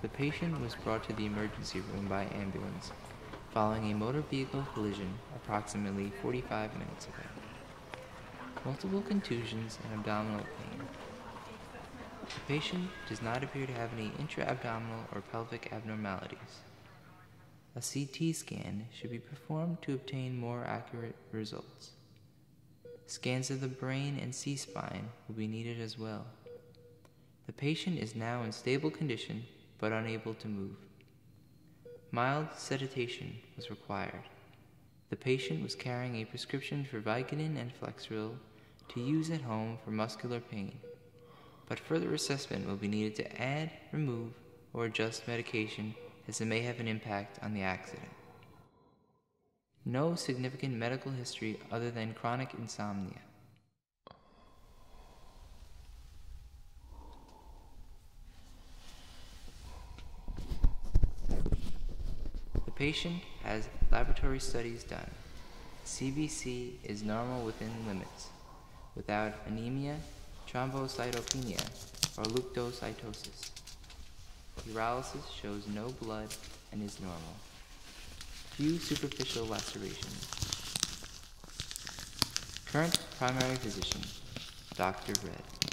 The patient was brought to the emergency room by ambulance following a motor vehicle collision approximately 45 minutes ago multiple contusions and abdominal pain. The patient does not appear to have any intra-abdominal or pelvic abnormalities. A CT scan should be performed to obtain more accurate results. Scans of the brain and C-spine will be needed as well. The patient is now in stable condition but unable to move. Mild sedation was required. The patient was carrying a prescription for Vicodin and Flexeril to use at home for muscular pain, but further assessment will be needed to add, remove, or adjust medication as it may have an impact on the accident. No significant medical history other than chronic insomnia. The patient has laboratory studies done. CBC is normal within limits, without anemia, thrombocytopenia, or leukocytosis. Urolysis shows no blood and is normal. Few superficial lacerations. Current primary physician, Dr. Red.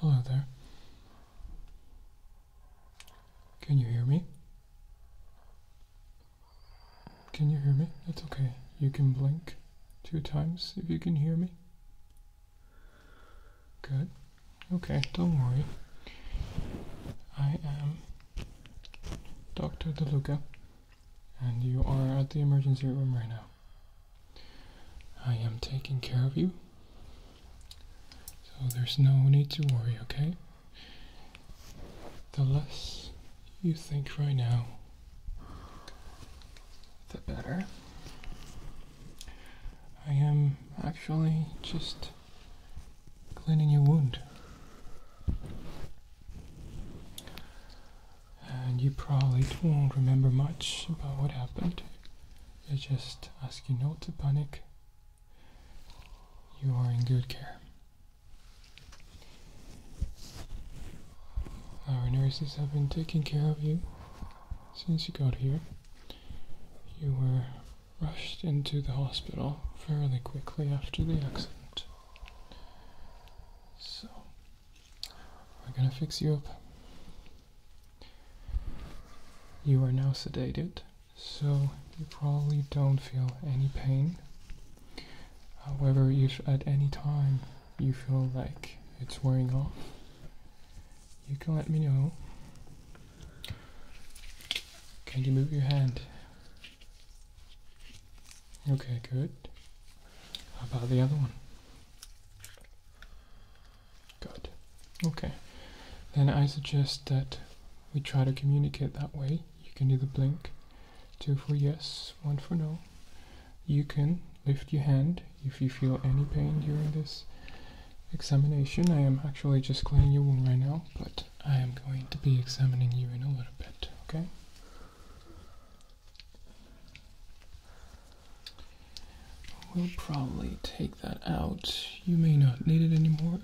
Hello there. Can you hear me? Can you hear me? That's okay. You can blink two times if you can hear me. Good. Okay, don't worry. I am Dr. DeLuca, and you are at the emergency room right now. I am taking care of you, so there's no need to worry, okay? The less you think right now, the better. I am actually just cleaning your wound. And you probably won't remember much about what happened. I just ask you not to panic you are in good care. Our nurses have been taking care of you since you got here. You were rushed into the hospital fairly quickly after the accident. So, we're gonna fix you up. You are now sedated. So you probably don't feel any pain. However, if at any time you feel like it's wearing off, you can let me know. Can you move your hand? Okay, good. How about the other one? Good. Okay. Then I suggest that we try to communicate that way. You can either blink, two for yes, one for no. You can lift your hand if you feel any pain during this examination. I am actually just cleaning your wound right now, but I am going to be examining you in a little bit, okay? We'll probably take that out. You may not need it anymore.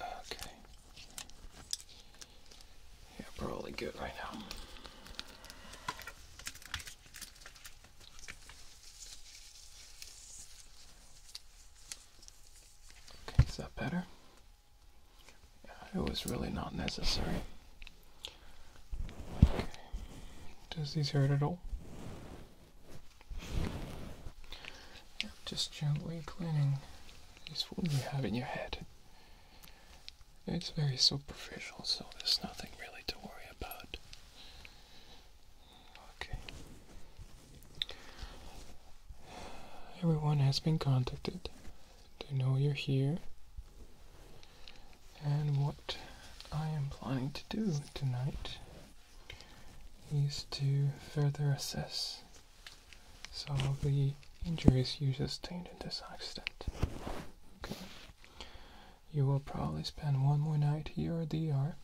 Okay. Yeah, probably good right now. Okay, is that better? it was really not necessary. Okay. Does these hurt at all? Just gently cleaning this wound you have in your head. It's very superficial, so there's nothing really to worry about. Okay. Everyone has been contacted. They know you're here. And what I am planning to do tonight is to further assess some of the injuries you sustained in this accident. Okay. You will probably spend one more night here at the ER.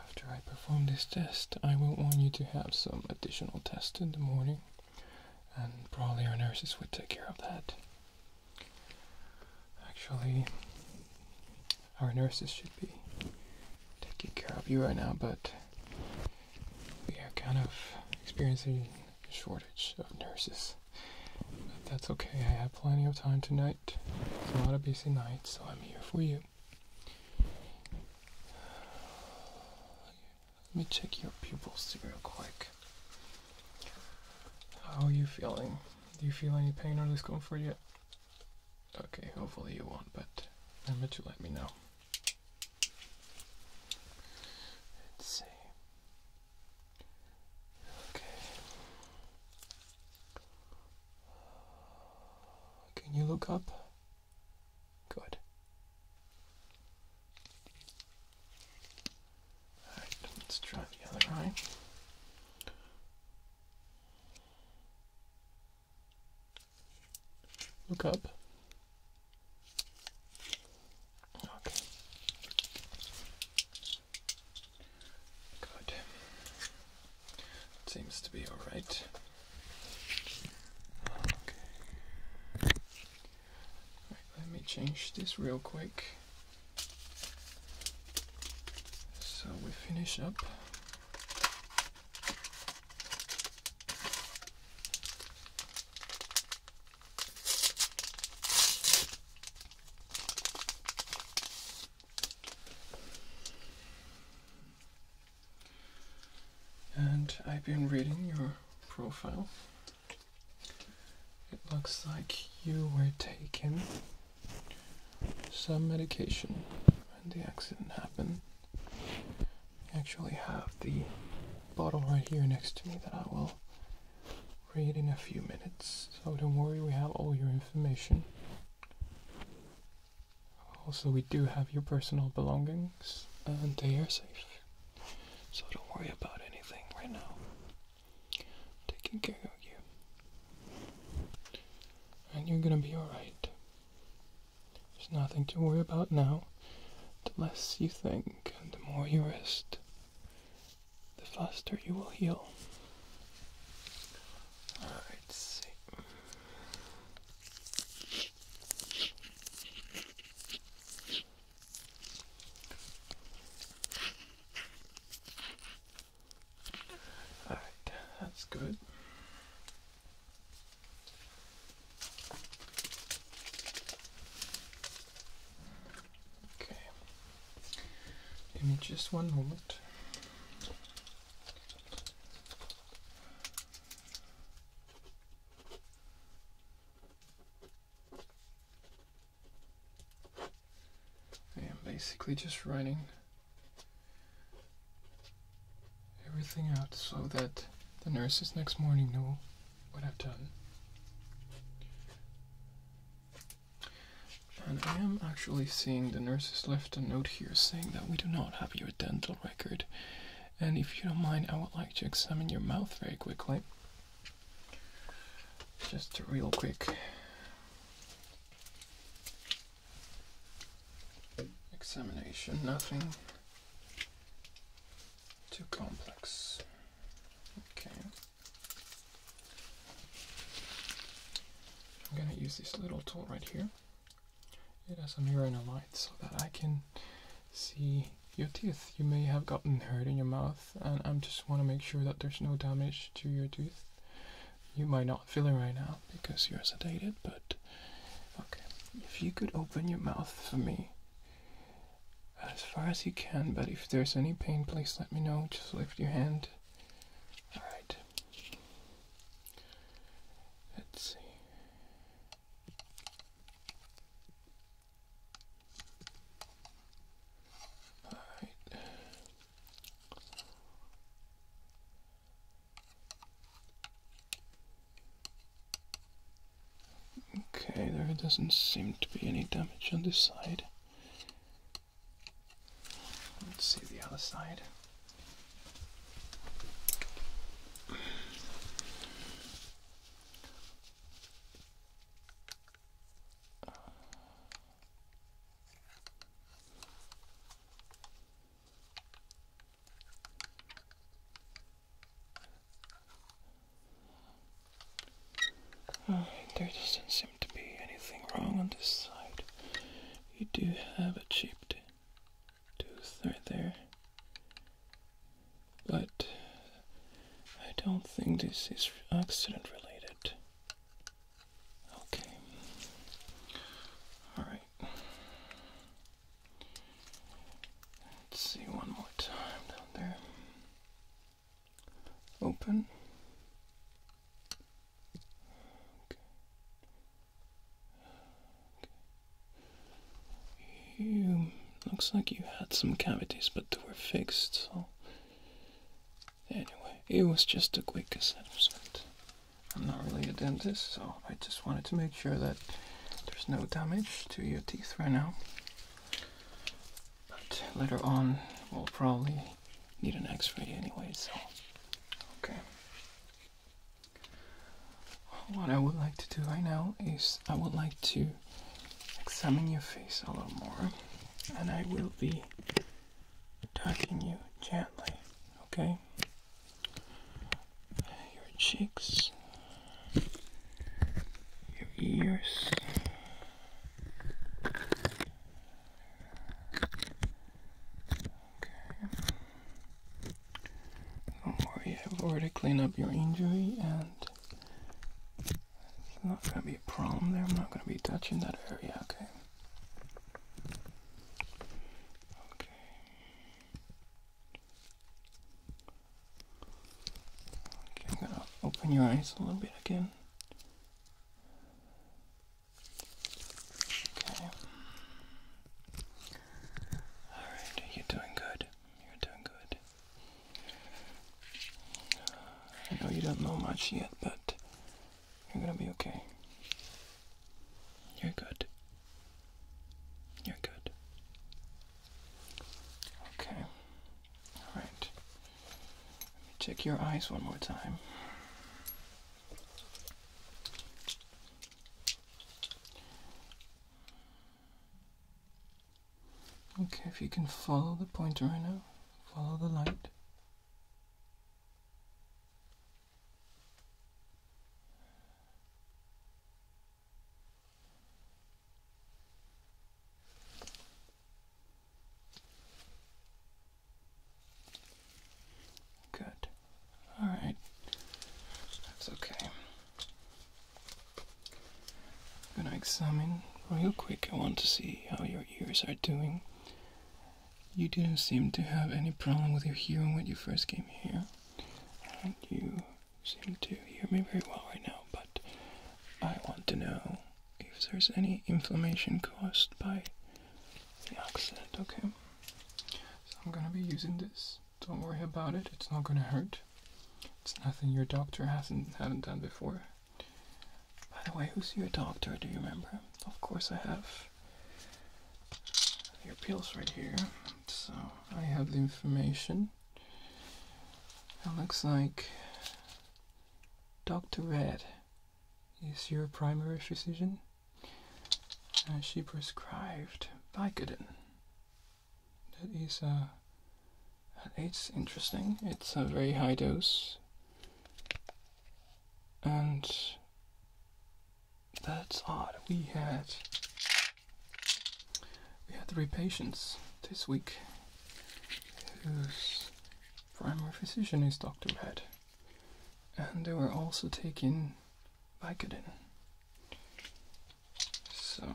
After I perform this test, I will want you to have some additional tests in the morning, and probably our nurses will take care of that. Actually, our nurses should be taking care of you right now, but we are kind of experiencing a shortage of nurses. But that's okay, I have plenty of time tonight. It's a lot of busy nights, so I'm here for you. Let me check your pupils real quick. How are you feeling? Do you feel any pain or discomfort yet? Okay, hopefully you won't, but I'm remember to let me know. Let's see. Okay. Can you look up? Good. Alright, let's try the other eye. Look up. Okay. Good. It seems to be all right. Okay. let me change this real quick. So we finish up. And I've been reading your profile. It looks like you were taken some medication when the accident happened. I actually have the bottle right here next to me that I will read in a few minutes. So don't worry, we have all your information. Also, we do have your personal belongings and they are safe. So don't worry about anything right now taking care of you. And you're gonna be alright. There's nothing to worry about now. The less you think and the more you rest, the faster you will heal. Alright, Alright, that's good. Okay. Give me just one moment. I am basically just writing everything out so that the nurses next morning know what I've done. And I am actually seeing the nurses left a note here saying that we do not have your dental record. And if you don't mind, I would like to examine your mouth very quickly. Just a real quick. Examination, nothing too complex. Okay. I'm going to use this little tool right here. It has a mirror and a light so that I can see your teeth. You may have gotten hurt in your mouth and I just want to make sure that there's no damage to your tooth. You might not feel it right now because you're sedated, but okay. If you could open your mouth for me as far as you can, but if there's any pain, please let me know. Just lift your hand. Alright. Let's see. All right. Okay, there doesn't seem to be any damage on this side. Let's see the other side. Alright, there doesn't seem to be anything wrong on this side. You do have a chipped tooth right there. But I don't think this is accident related. Okay. All right. Let's see one more time down there. Open. Okay. Okay. You looks like you had some cavities, but they were fixed. So Anyway, it was just a quick assessment. I'm not really a dentist, so I just wanted to make sure that there's no damage to your teeth right now. But later on, we'll probably need an x ray anyway, so. Okay. What I would like to do right now is I would like to examine your face a little more, and I will be be touching you gently, okay? Your cheeks, your ears. Okay. Don't worry, I've already cleaned up your injury and it's not going to be a problem there. I'm not going to be touching that area, okay? Okay. Okay, open your eyes a little bit again. Okay. Alright, you're doing good. You're doing good. I know you don't know much yet, but you're gonna be okay. You're good. You're good. Okay. Alright. check your eyes one more time. Okay, if you can follow the pointer right now, follow the light. Good. All right. That's okay. I'm gonna examine real quick. I want to see how your ears are doing. You didn't seem to have any problem with your hearing when you first came here. And you seem to hear me very well right now, but I want to know if there's any inflammation caused by the accident, okay? So I'm gonna be using this. Don't worry about it, it's not gonna hurt. It's nothing your doctor hasn't hadn't done before. By the way, who's your doctor? Do you remember? Of course, I have your pills right here. So I have the information. It looks like Dr. Red is your primary physician, and she prescribed Vicodin. That is a it's interesting. It's a very high dose. And that's odd. We had we had three patients this week whose primary physician is Dr. Red. And they were also taking Vicodin. So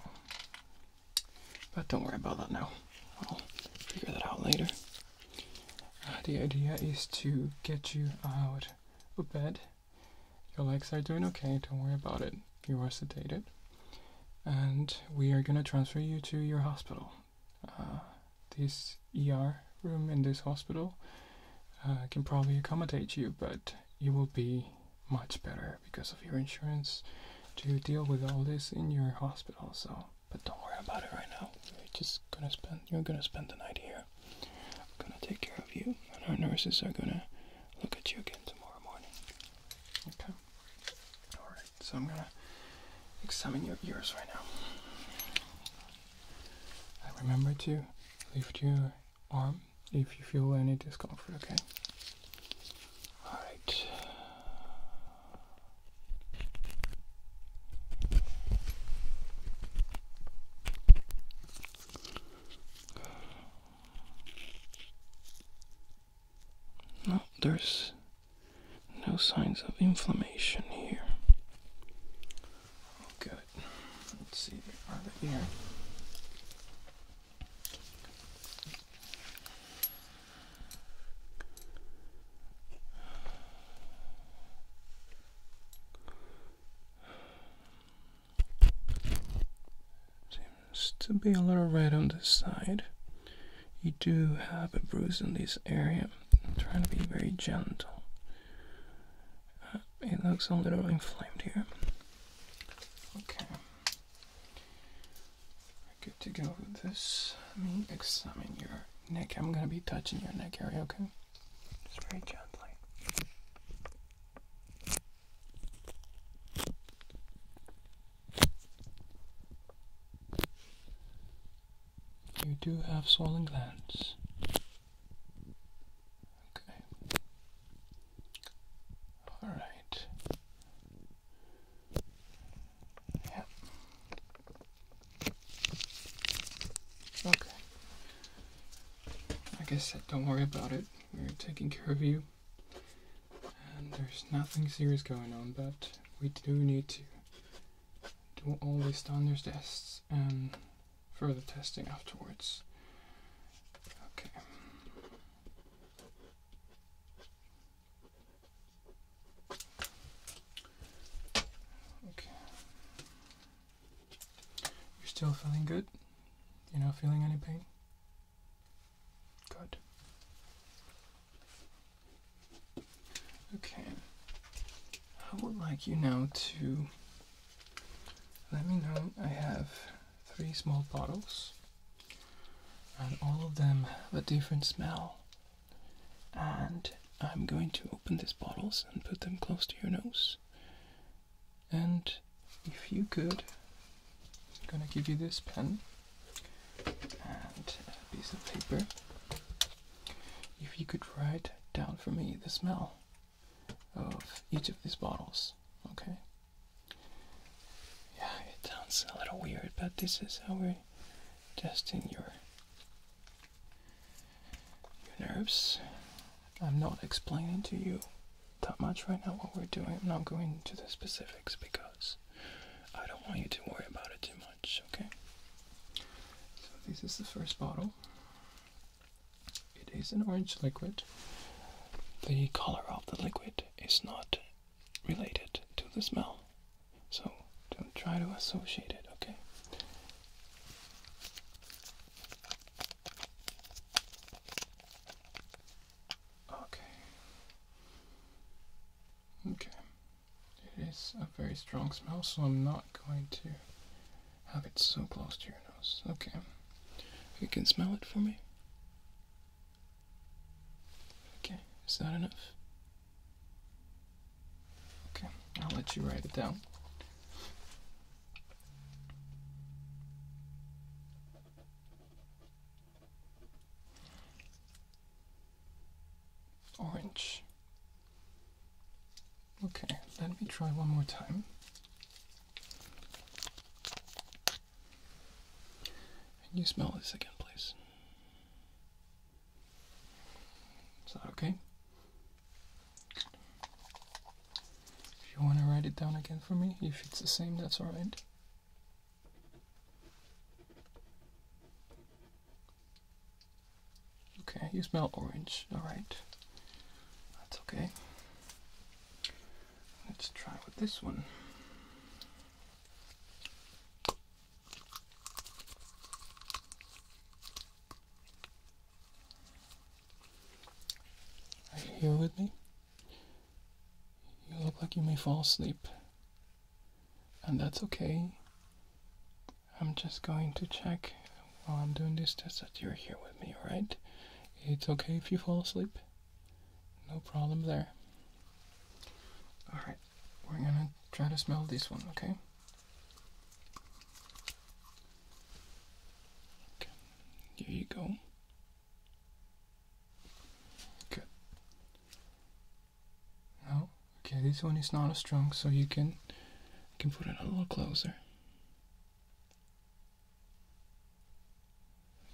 but don't worry about that now. I'll figure that out later. Uh, the idea is to get you out of bed. Your legs are doing okay, don't worry about it. You are sedated. And we are gonna transfer you to your hospital. Uh, this ER room in this hospital uh, can probably accommodate you, but you will be much better because of your insurance to deal with all this in your hospital. So but don't worry about it right now. you are just gonna spend. You're gonna spend the night here. I'm gonna take care of you, and our nurses are gonna look at you again tomorrow morning. Okay. All right. So I'm gonna examine your ears right now. And remember to lift your arm if you feel any discomfort. Okay. All right. No, there's no signs of inflammation here. Good. Let's see the other Seems to be a little red on this side. You do have a bruise in this area. I'm trying to be very gentle. Uh, it looks a little inflamed here. Okay. Good to go with this. Let me examine your neck. I'm gonna be touching your neck area, okay? Just very gently. You do have swollen glands. Okay. Alright. Yep. Okay. Like I said, don't worry about it. We're taking care of you. And there's nothing serious going on, but we do need to do all these standard tests and further testing afterwards. Okay. You're still feeling good? You're not feeling any pain? Good. Okay. I would like you now to let me know. I have three small bottles and all of them have a different smell. And I'm going to open these bottles and put them close to your nose. And if you could, I'm gonna give you this pen and a piece of paper. If you could write down for me the smell of each of these bottles, okay? Yeah, it sounds a little weird, but this is how we're testing your your nerves. I'm not explaining to you that much right now what we're doing. I'm not going into the specifics because I don't want you to worry about it too much, okay? So this is the first bottle. It is an orange liquid. The color of the liquid is not related to the smell. So don't try to associate it, okay? Okay. Okay. It is a very strong smell, so I'm not going to have it so close to your nose. Okay. You can smell it for me. Okay, is that enough? Okay, I'll let you write it down. Orange. Okay, let me try one more time. Can you smell this again, please? Is that okay? If you want to write it down again for me, if it's the same, that's alright. Okay, you smell orange, alright. That's okay. Let's try with this one. Are you here with me? You look like you may fall asleep. And that's okay. I'm just going to check while I'm doing this test that you're here with me, alright? It's okay if you fall asleep. No problem there. Alright, we're gonna try to smell this one, okay? okay. Here you go. Good. No? Okay, this one is not as strong, so you can you can put it a little closer.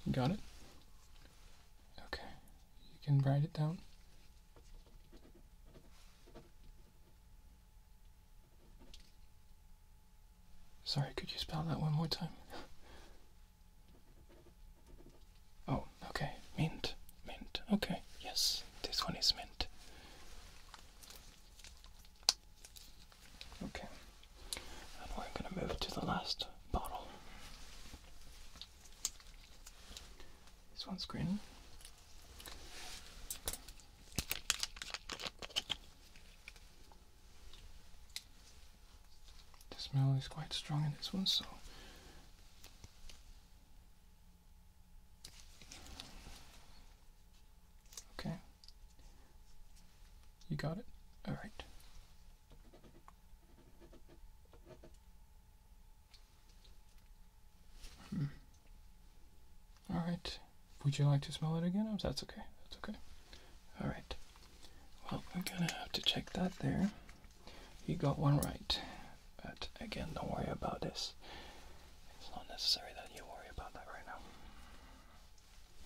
You got it? Okay. You can write it down. Sorry, could you spell that one more time? Oh, okay. Mint. Mint. Okay. Yes, this one is mint. Okay. And we're going to move to the last bottle. This one's green. The smell is quite strong in this one, so okay, you got it. All right, Hmm. All right. Would you like to smell it again? Oh, that's okay. That's okay. All right. Well, we're gonna have to check that there. You got one right, but again, don't worry about this. It's not necessary that you worry about that right now.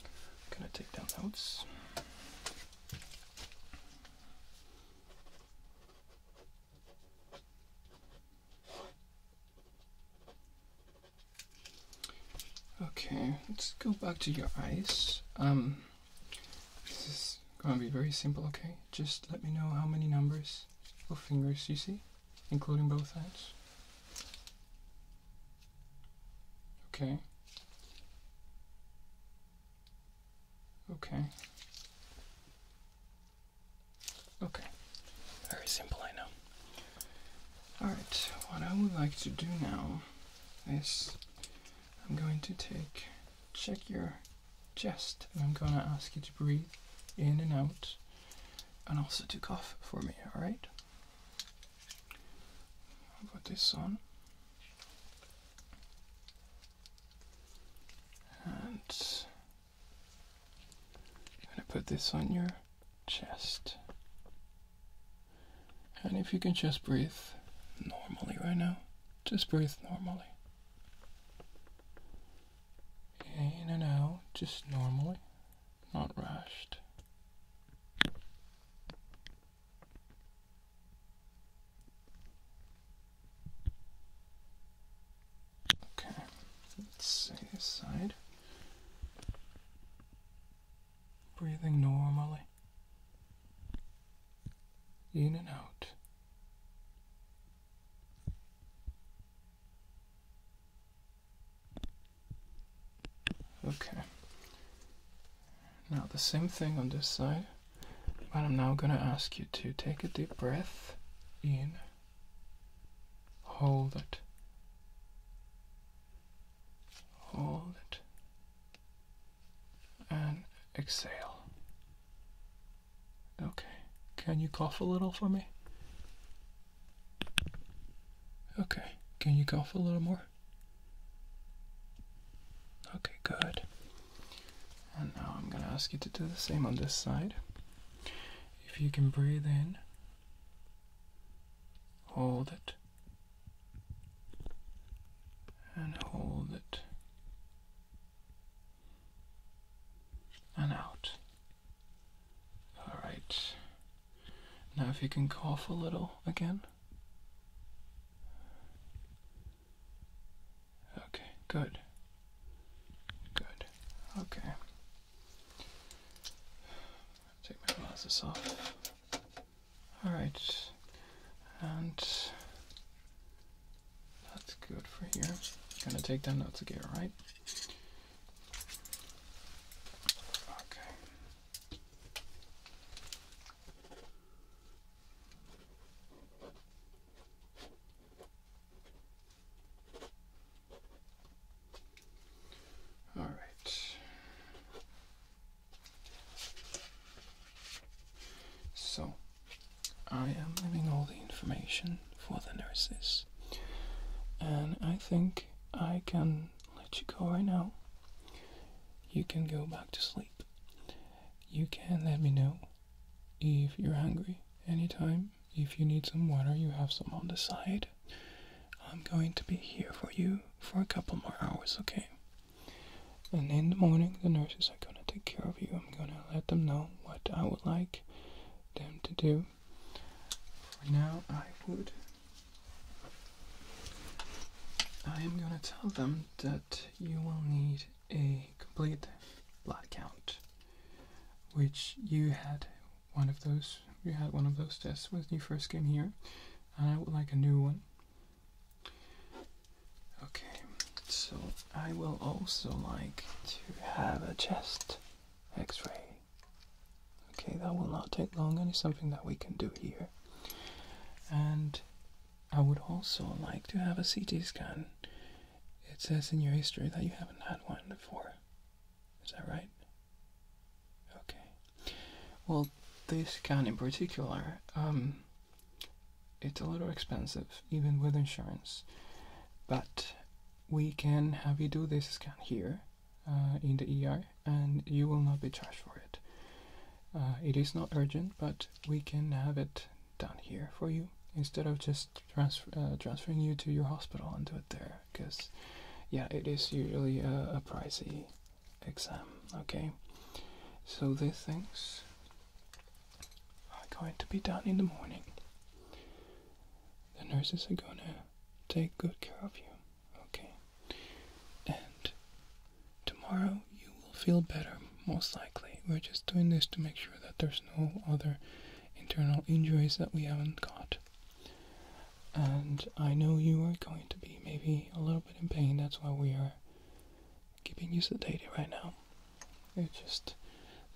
I'm gonna take down notes. Okay, let's go back to your eyes. Um, this is gonna be very simple, okay? Just let me know how many numbers of fingers you see, including both hands. Okay. Okay. Okay. Very simple, I know. Alright, what I would like to do now is I'm going to take check your chest and I'm gonna ask you to breathe in and out and also to cough for me, alright? I'll put this on. And I'm going to put this on your chest. And if you can just breathe normally right now, just breathe normally. In and out, just normally, not rushed. Okay, let's see this side. Breathing normally. In and out. Okay. Now the same thing on this side, but I'm now gonna ask you to take a deep breath in, hold it, hold it, and exhale. Okay, can you cough a little for me? Okay, can you cough a little more? Okay, good. And now I'm going to ask you to do the same on this side. If you can breathe in, hold it, and hold it, and out. Alright. Now, if you can cough a little again. Okay, good. Good. Okay. Take my glasses off. Alright. And that's good for here. gonna take down notes again, right? Okay. All right. So, I am leaving all the information for the nurses, and I think I can let you go right now. You can go back to sleep. You can let me know if you're hungry anytime. If you need some water, you have some on the side. I'm going to be here for you for a couple more hours, okay? And in the morning, the nurses are going to take care of you. I'm going to let them know what I would like them to do. For now, I would I am going to tell them that you will need a complete blood count, which you had one of those. You had one of those tests when you first came here, and I would like a new one. Okay, so I will also like to have a chest x ray. Okay, that will not take long Any something that we can do here. And I would also like to have a CT scan. It says in your history that you haven't had one before. Is that right? Okay. Well, this scan in particular, um, it's a little expensive, even with insurance. But we can have you do this scan here uh, in the ER and you will not be charged for it. Uh, it is not urgent, but we can have it done here for you instead of just transfer, uh, transferring you to your hospital and do it there. Because, yeah, it is usually a, a pricey exam. Okay, so these things are going to be done in the morning. The nurses are gonna take good care of you. Okay. And tomorrow you will feel better, most likely. We're just doing this to make sure that there's no other internal injuries that we haven't caught. And I know you are going to be maybe a little bit in pain, that's why we are keeping you sedated right now. It's just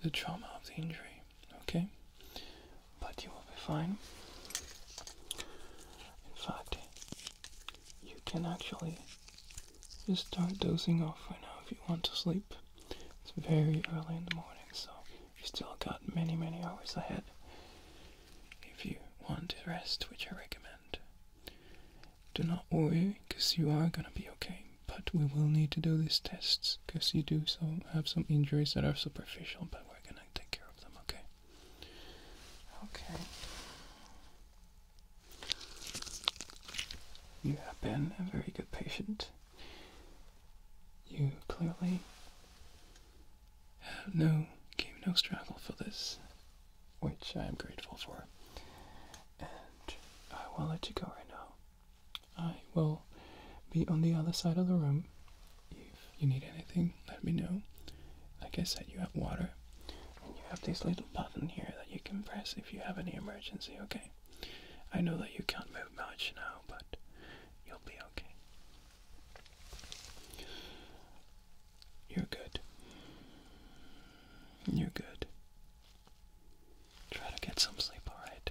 the trauma of the injury, okay? But you will be fine. In fact, you can actually just start dozing off right now if you want to sleep. It's very early in the morning, so you still got many, many hours ahead if you want to rest, which I recommend. Do not worry, because you are gonna be okay, but we will need to do these tests, because you do so have some injuries that are superficial, but we're gonna take care of them, okay? Okay. You have been a very good patient. You clearly have no gave no struggle for this, which I am grateful for. And I will let you go right now. I will be on the other side of the room you need anything, let me know. Like I said, you have water, and you have this little button here that you can press if you have any emergency, okay? I know that you can't move much now, but you'll be okay. You're good. You're good. Try to get some sleep, alright?